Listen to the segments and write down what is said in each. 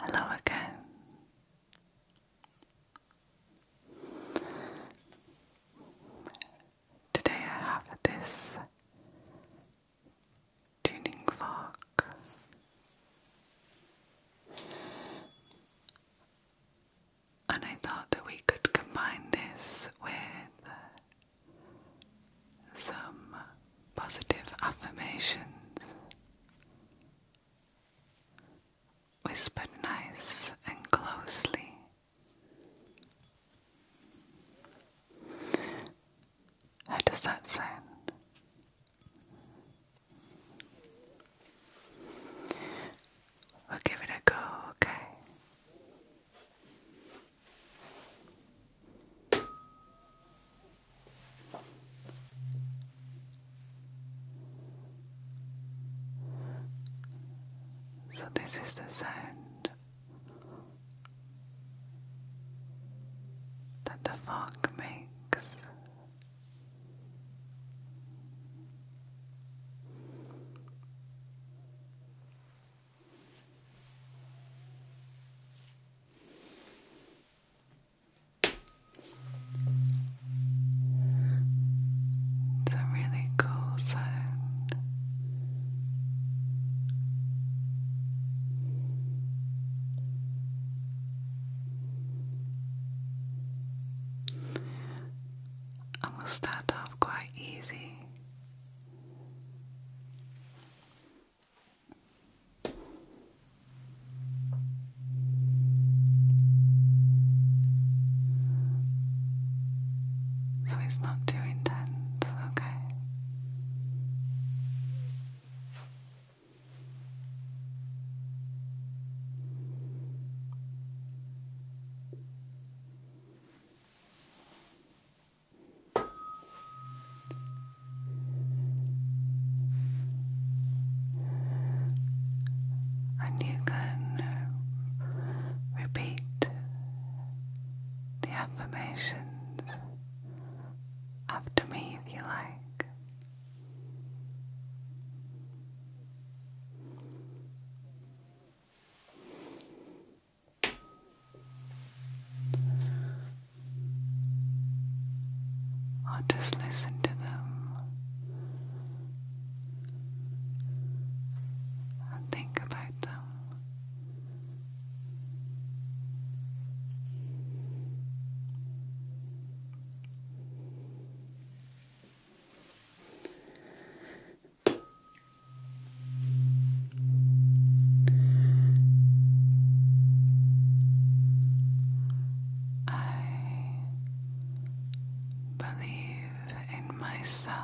Hello again. Today I have this tuning fork. And I thought that we could combine this with some positive affirmations. Whispered nice and closely. How does that sound? We'll give it a go, okay? So, this is the sound that the fog makes. It's a really cool sound. And we'll start off quite easy so it's not too intense, okay? And you can uh, repeat the affirmations after me if you like. Or just listen to them and think about them. I believe in myself.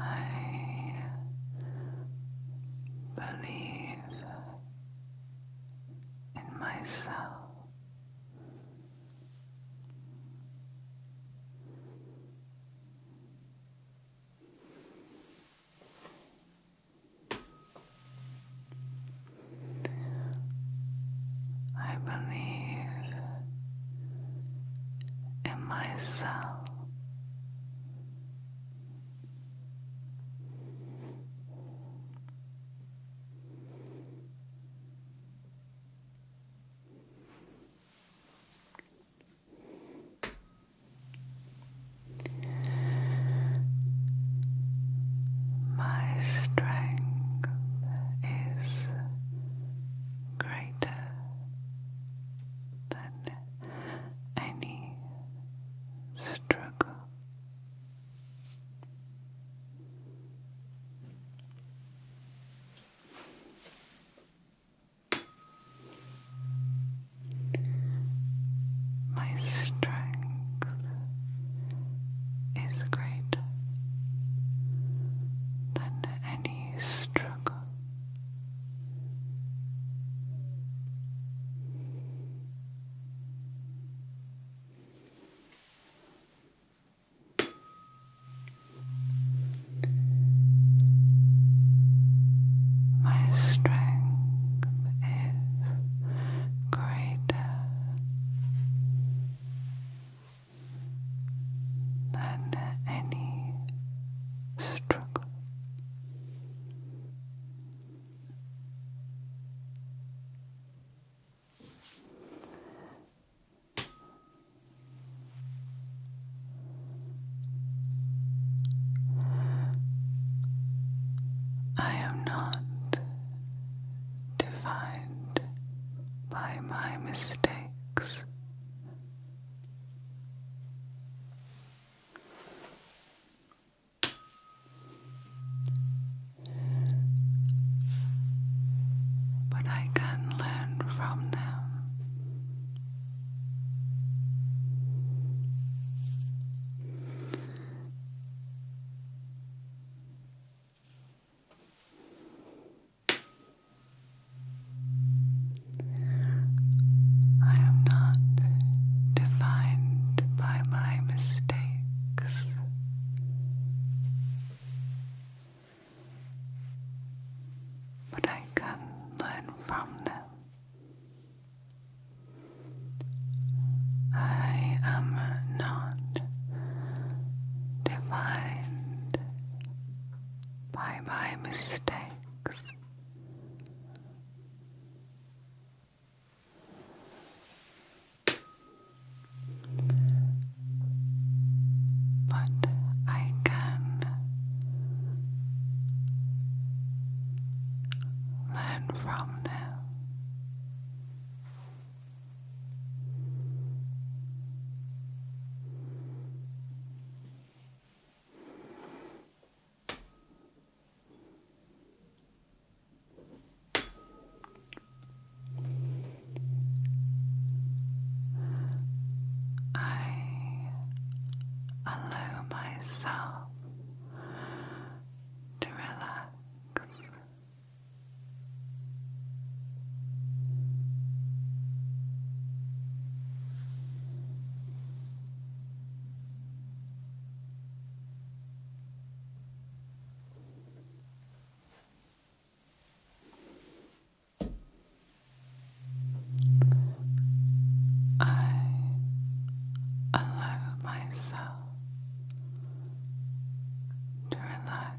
I believe in myself. I believe in myself. My strength is great brighter than any struggle. My strength is greater than struggle. My strength is greater than any struggle. I am not defined by my mistakes but I can learn from them. I am not defined by my mistakes. But I can learn from them. I am not defined by my mistakes. But I can learn from them. I allow myself to relax I allow myself to relax.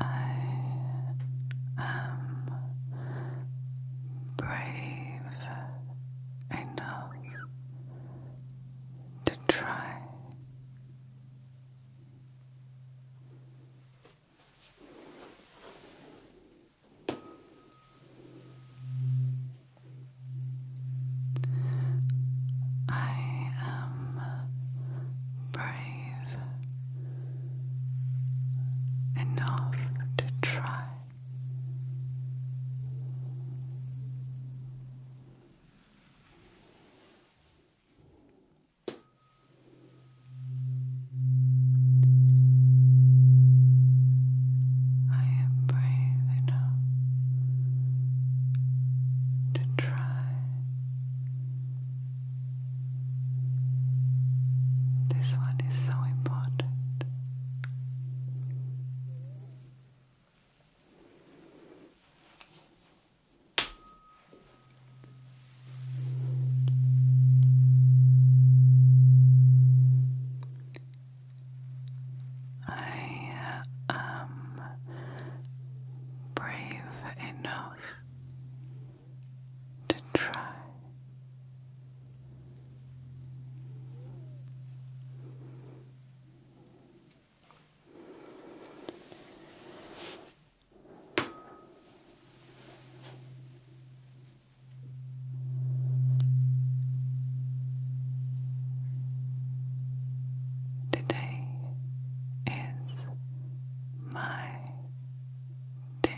I am brave enough to try. I am brave enough to try. I am brave enough to try this one is so important. I am um, brave enough to try. Today is my day.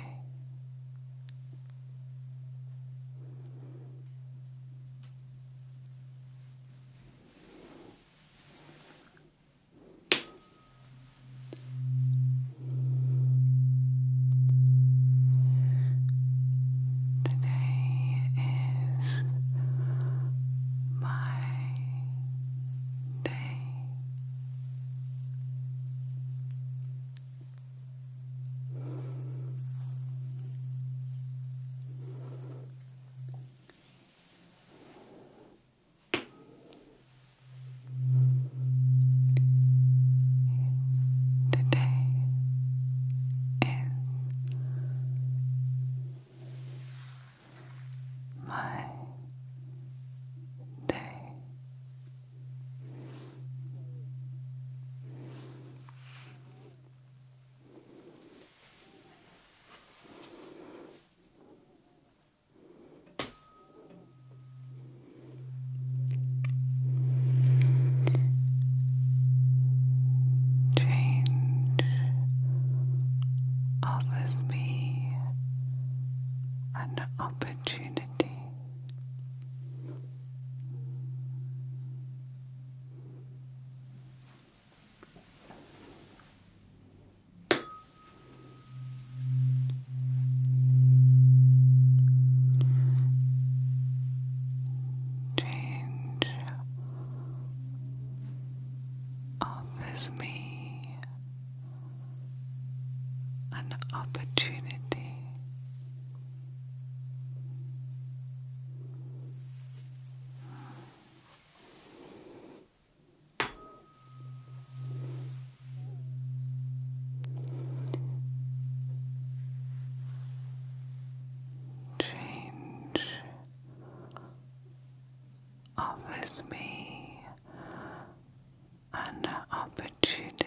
Today is my day. Today is my day. Change offers me an opportunity change offers me an opportunity change offers me an opportunity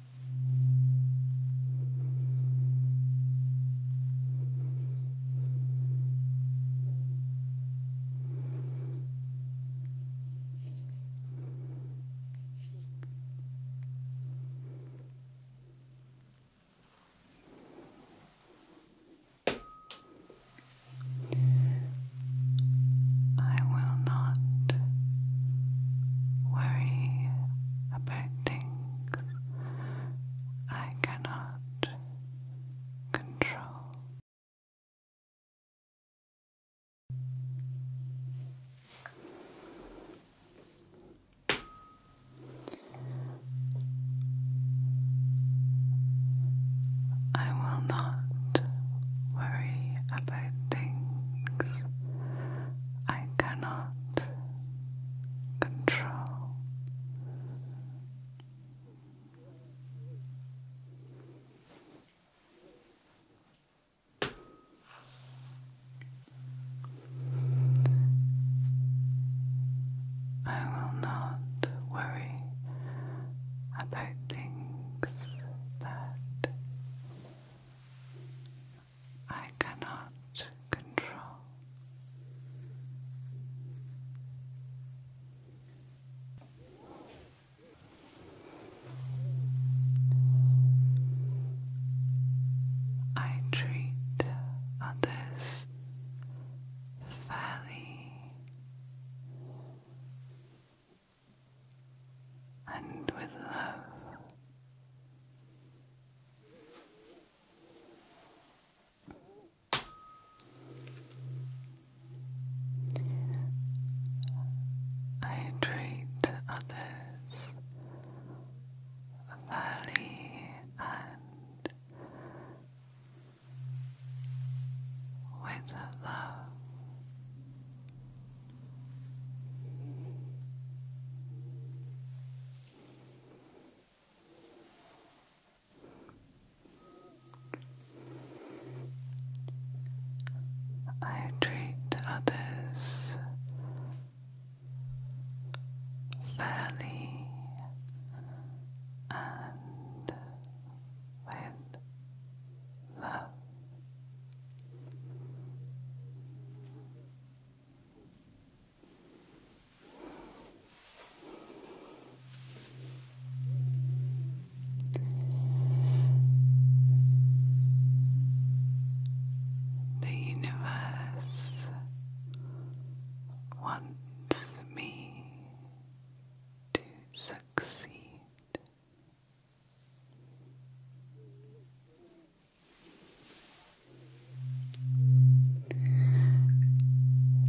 I will not worry about things I cannot control. I will not worry about things I cannot control. I will not worry about things that I cannot control. I treat others fairly and with love. I treat others fairly and with love. I treat others fairly and with love. The universe wants me to succeed.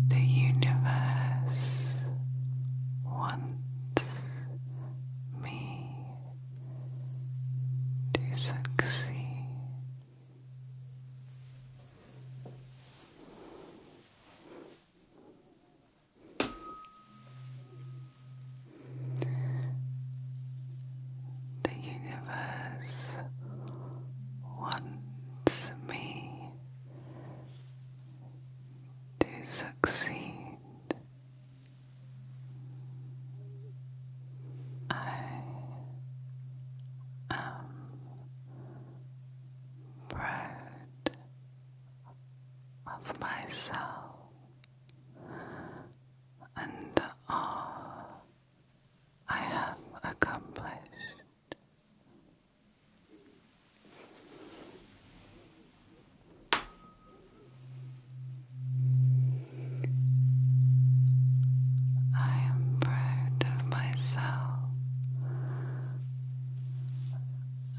The universe wants me to succeed. The universe wants me to succeed. I am proud of myself and all I have accomplished. I am proud of myself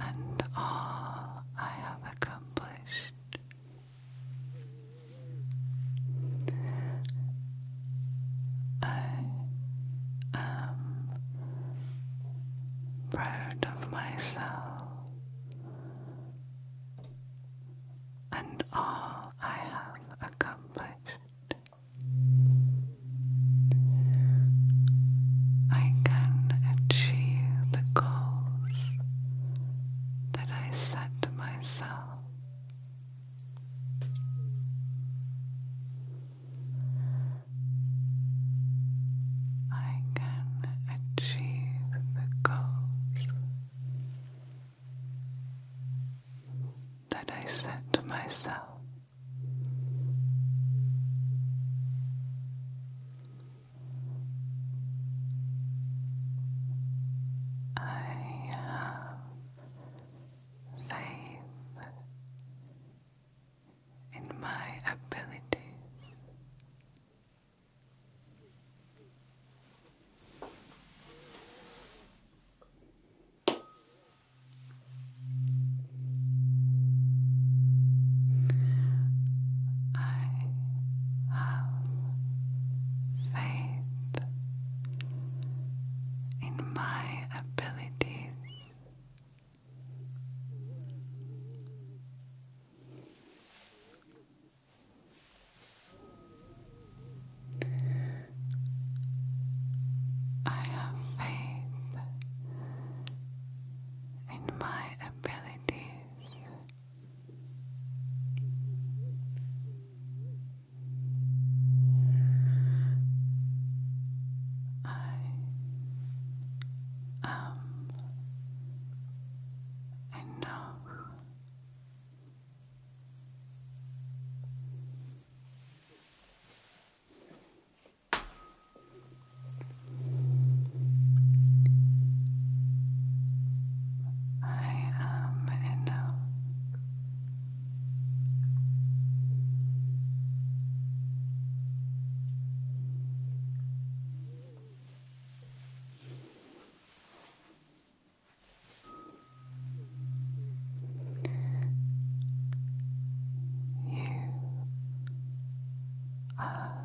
and all I have accomplished. I am proud of myself and all I have accomplished. I can achieve the goals that I set myself. I can achieve the goals that I set to myself. I have faith in my abilities. I have faith in my abilities. I have faith in my abilities. I am um, enough. I am um, enough. You are enough.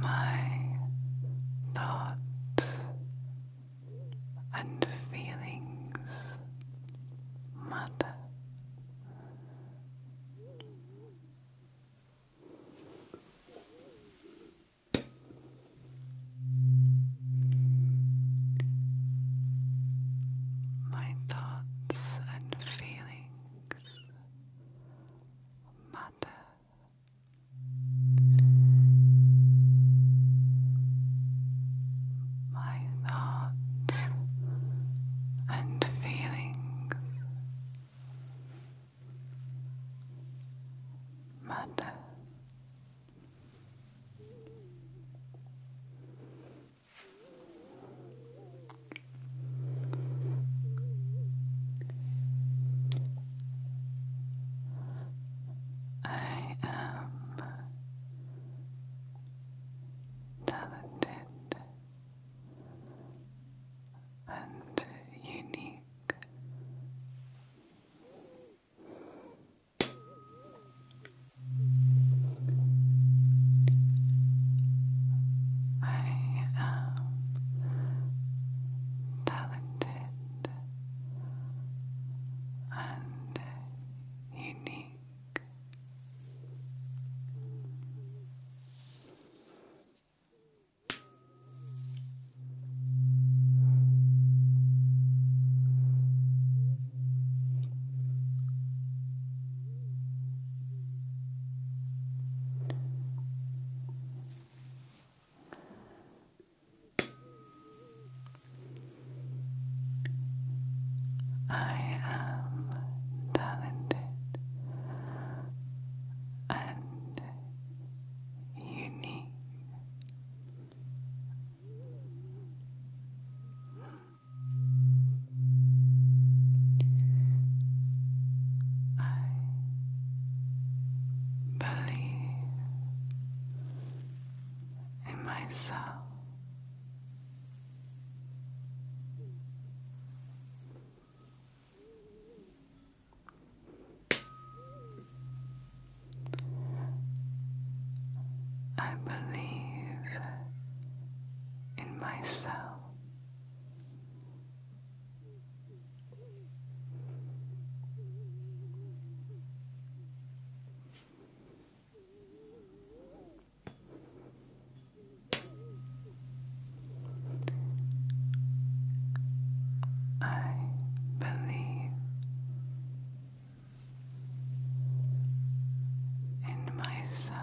my thoughts and feelings, Mother. My thoughts and feelings, mother. My thoughts and feelings, mother. I am talented and unique. I am talented and unique. I am talented and unique. I believe in myself. I believe in myself. I believe in myself.